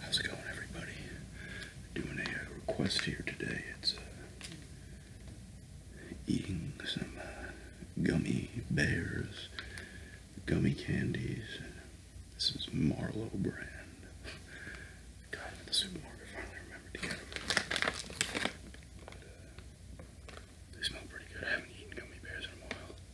How's it going, everybody? Doing a uh, request here today. It's uh, eating some uh, gummy bears, gummy candies. This is Marlo brand. Got them at the supermarket. Finally remembered to get them. they smell pretty good. I haven't eaten gummy bears in a while.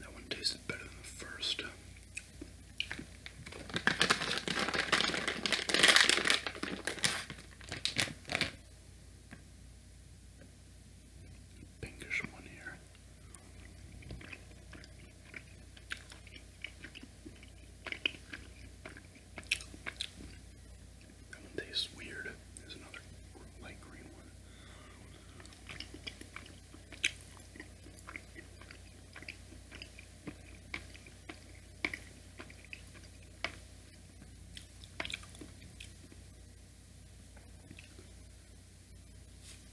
That one tasted better than the first. Pinkish one here. That one tastes weird. There's another light green one.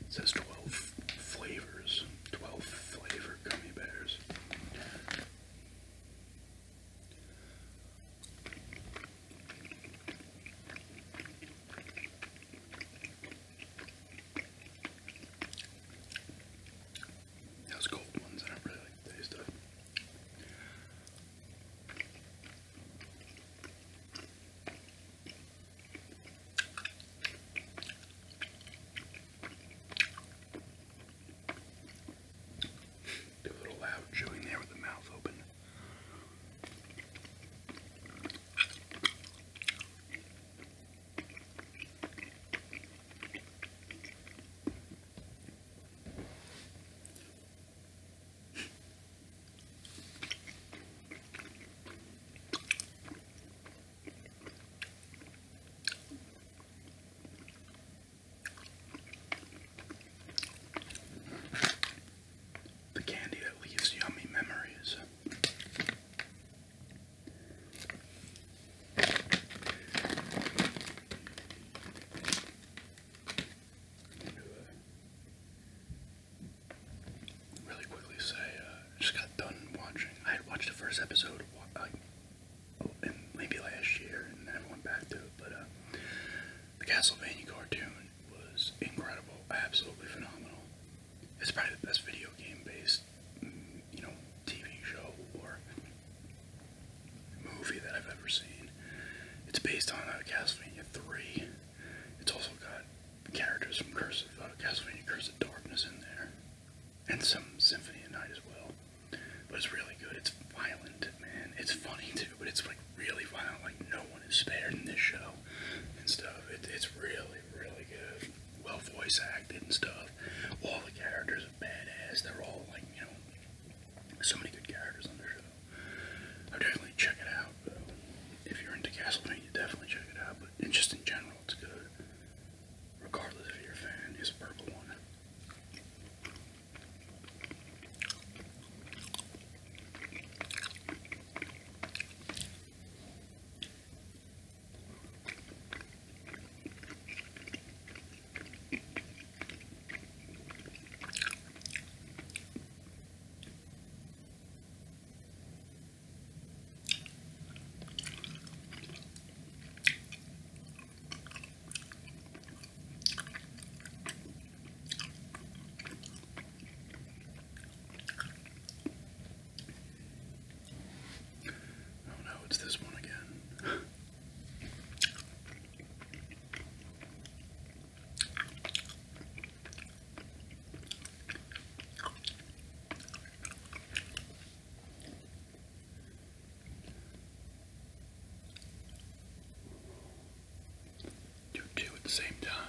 It says 12 flavors, 12 flavor gummy bears. Those gold ones, I don't really taste of do a little loud chewing there with the mouth open. The candy that leaves yummy memories really quickly say, uh, I just got done watching. I had watched the first episode like, oh, and maybe last year, and then I went back to it. But uh, the Castlevania cartoon was incredible, absolutely phenomenal. It's probably the best video game based, mm, you know, TV show or movie that I've ever seen. It's based on uh, Castlevania 3. It's also got characters from Curse of uh, Castlevania Curse of Darkness in there, and some Symphony of Night as well. But it's really good. It's violent, man. It's funny too, but it's like really violent. Like no one is spared in this show and stuff. it's really, really good. Well voice acted and stuff. All the characters are badass. They're all like you know, so many good characters on this show. I would definitely check it out. If you're into Castlevania, definitely check it out. But just in general, it's good. Regardless if you're a fan, it's a purple one. Oh no, it's this one again. Do two at the same time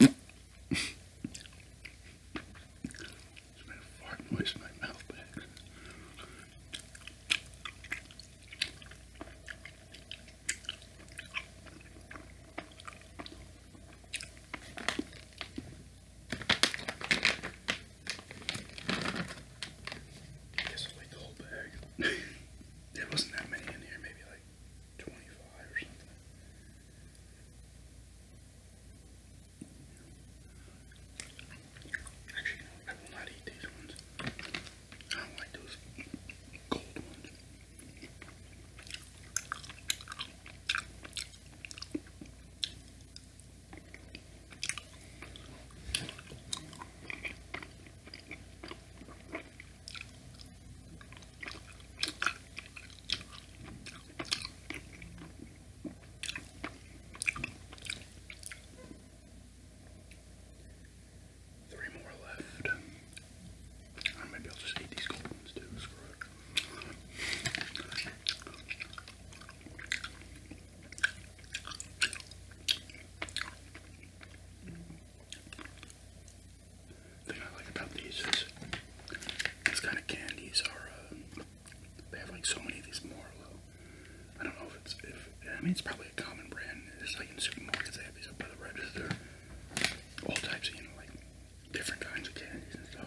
made a fart noise in my mouth back. I guess i like the whole bag. there wasn't that many in here, maybe like 25 or something. Actually, I will not eat these ones. I don't like those cold ones. Three more left. Or maybe I'll just eat these cold ones too. Screw it thing I like about these is these kind of candies are, uh, they have like so many of these Marlowe. I don't know if it's, if, I mean, it's probably a common brand. It's like in supermarkets, they have these up by the register. All types of, you know, like different kinds of candies and stuff.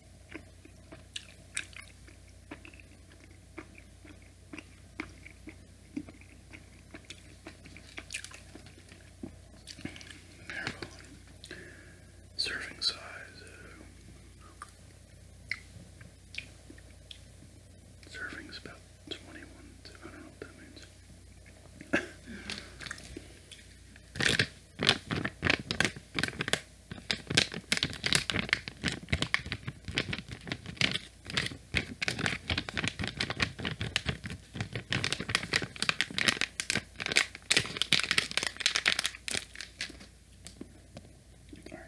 Maryland. Serving size. Serving serving's about 21. I don't know what that means. Alright,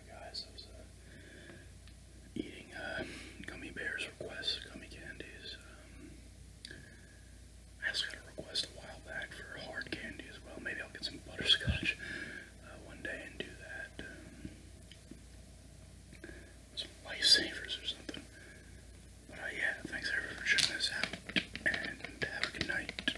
guys, I was uh, eating uh, gummy bears requests, gummy candies. Um, I just got a request a while back for hard candy as well. Maybe I'll get some butterscotch. Uh, one day and do that. Um, some lifesavers or something. But uh, yeah, thanks everyone for checking this out, and have a good night.